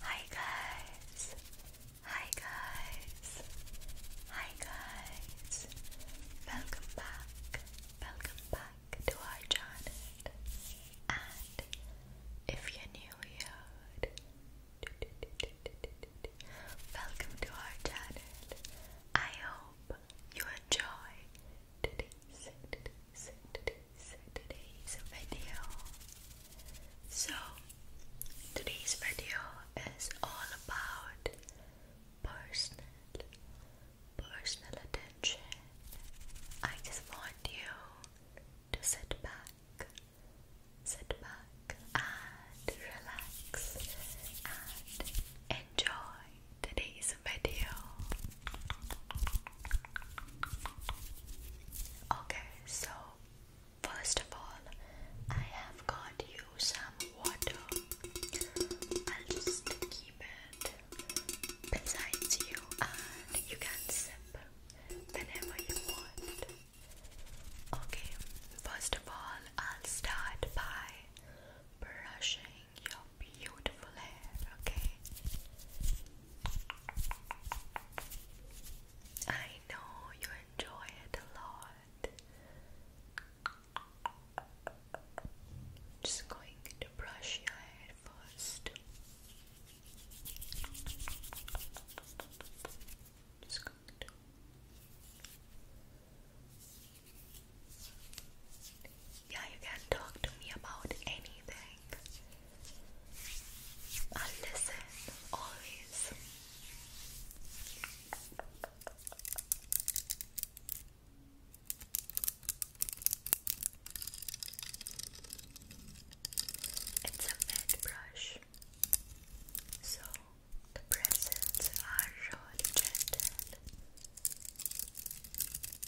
Hi guys. Hi guys. Hi guys. Welcome back. Welcome back to our channel. And if you're new here, welcome to our channel. I hope you enjoy so today's, video so today's video is all about personal personal attention I just want you to sit back sit back and relax and enjoy today's video. Okay, so first of all, I have got you some water. I'll just keep it besides you, and you can sip whenever you want. Okay, first of all, I'll start by brushing your beautiful hair, okay? I know you enjoy it a lot. Just going to brush your hair first. Just going to yeah, you can talk to me about anything. i listen always. It's a med brush, so the presents are really gentle.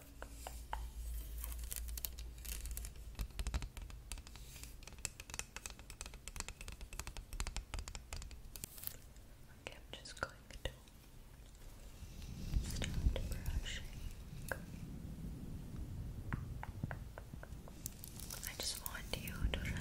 Okay, I'm just going to start brushing. I just want you to Relax.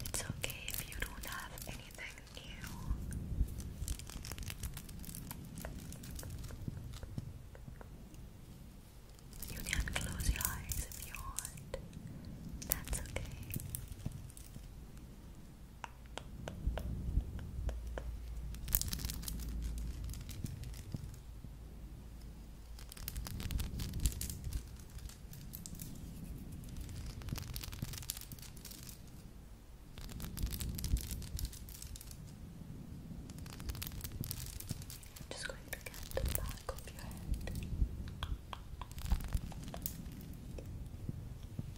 It's okay if you don't have anything new. You can close your eyes if you want. That's okay. I'm just going to get the back of your head.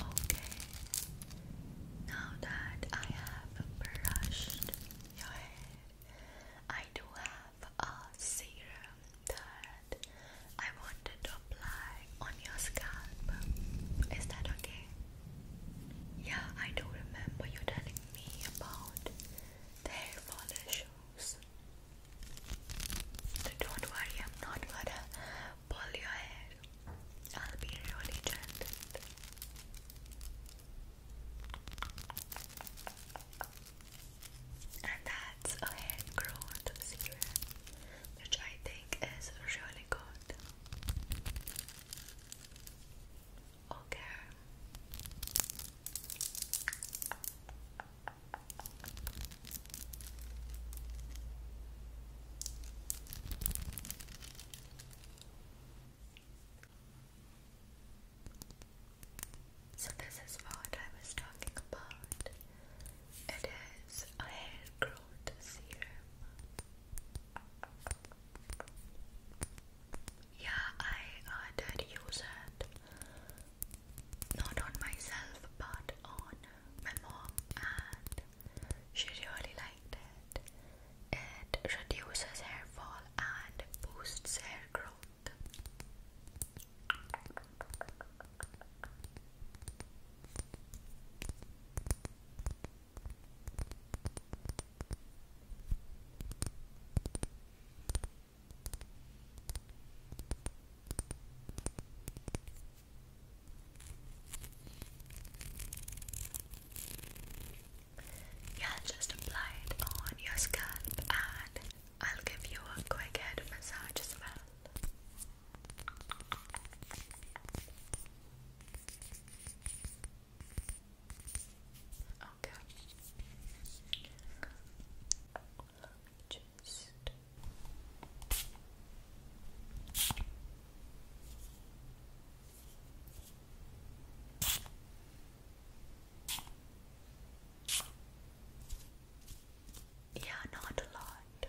Okay. Now that I have brushed your head, I do have a serum that I wanted to apply on your scalp. Is that okay? Yeah, I do remember you telling me about the hair fall issues. So don't worry, I'm not gonna pull your hair. I'll be really gentle. And that's a hair growth serum, which I think is really good. Okay. So, this is what I was talking about. It is a hair growth serum. Yeah, I did use it. Not on myself, but on my mom, and she really liked it. It reduces hair fall and boosts hair growth. Yeah, just apply on your scalp and I'll give you a quick head massage as well. Okay. Just yeah, not a lot.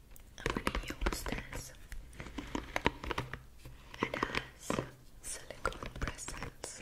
I'm gonna use this. It has silicone bristles.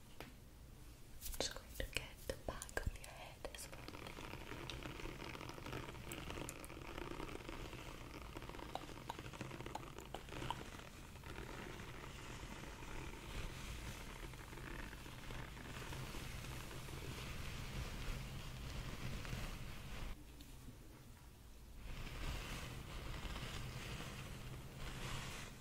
I'm just going to get the back of your head as well.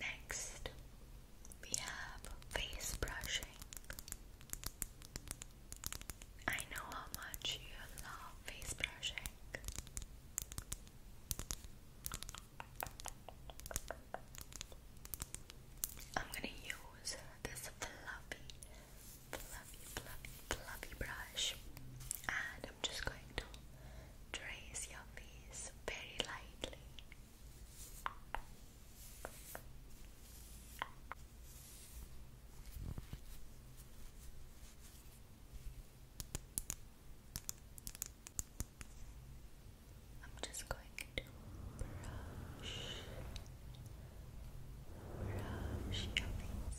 Next, we have face brushing. I know how much you love face brushing. I'm gonna use this fluffy fluffy, fluffy, fluffy brush, and I'm just going to trace your face very lightly. I'm just going to brush, brush your face.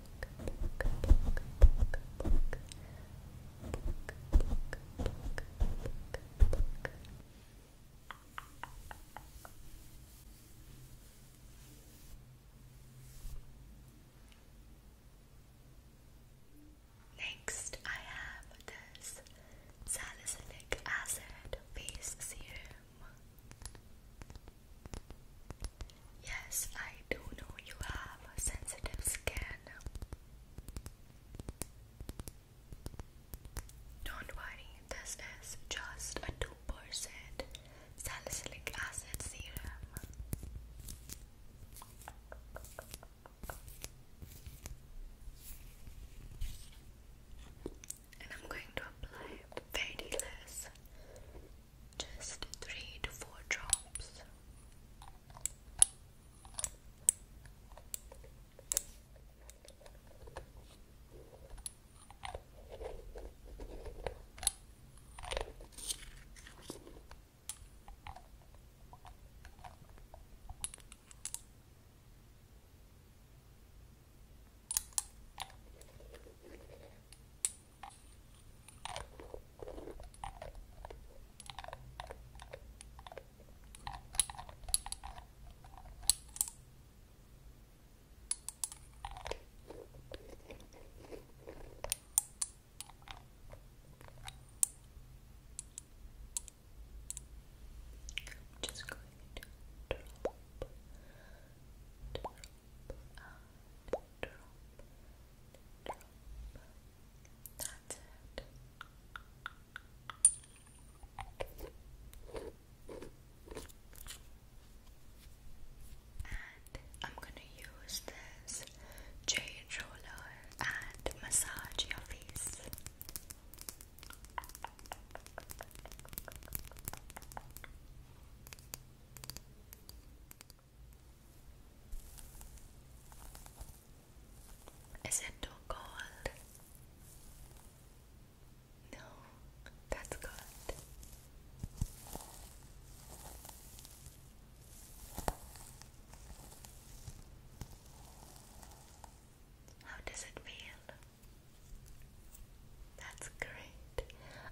Next, I have this salicylic acid face serum. Yes, I do know you have a sensitive skin. Don't worry, this is just a 2% salicylic acid serum. And I'm going to apply very less just three to four drops. I'm just going to drop, drop, and drop, I'm gonna use this jade roller and massage your face. Is it too cold? No, that's good. How does it feel? That's great.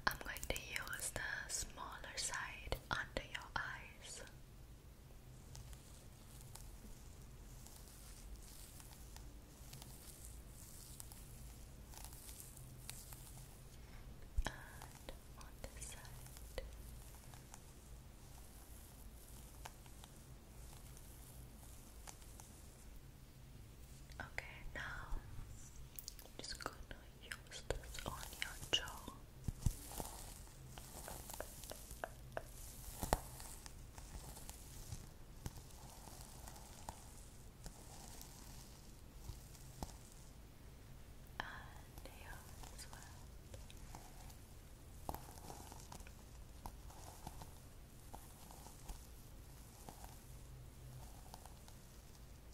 I'm going to use the smaller side under your eyes. Okay, now just going use this on your jaw. And here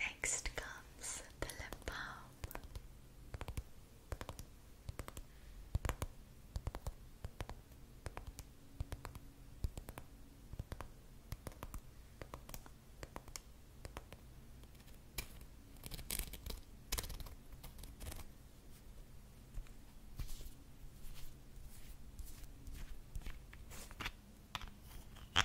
Next comes the lip balm. Just going to apply, apply, apply, apply,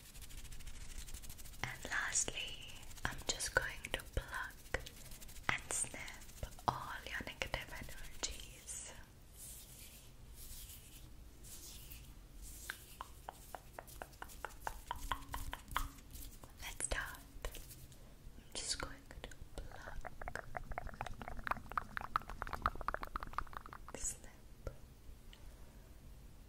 And lastly, I'm just going to pluck and snip all your negative energies. Let's start. I'm just going to pluck, snip,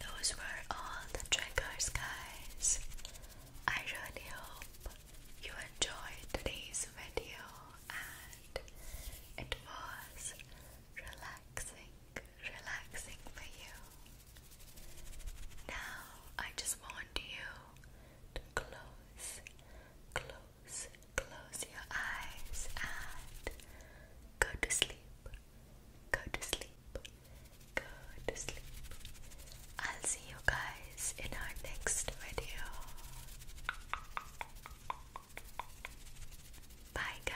Those were all the triggers, guys. I really hope you enjoyed today's video and it was relaxing, relaxing for you. Now, I just want you to close Close, close your eyes and go to sleep. Go to sleep. Go to sleep. I'll see you guys in our next video. Bye, guys.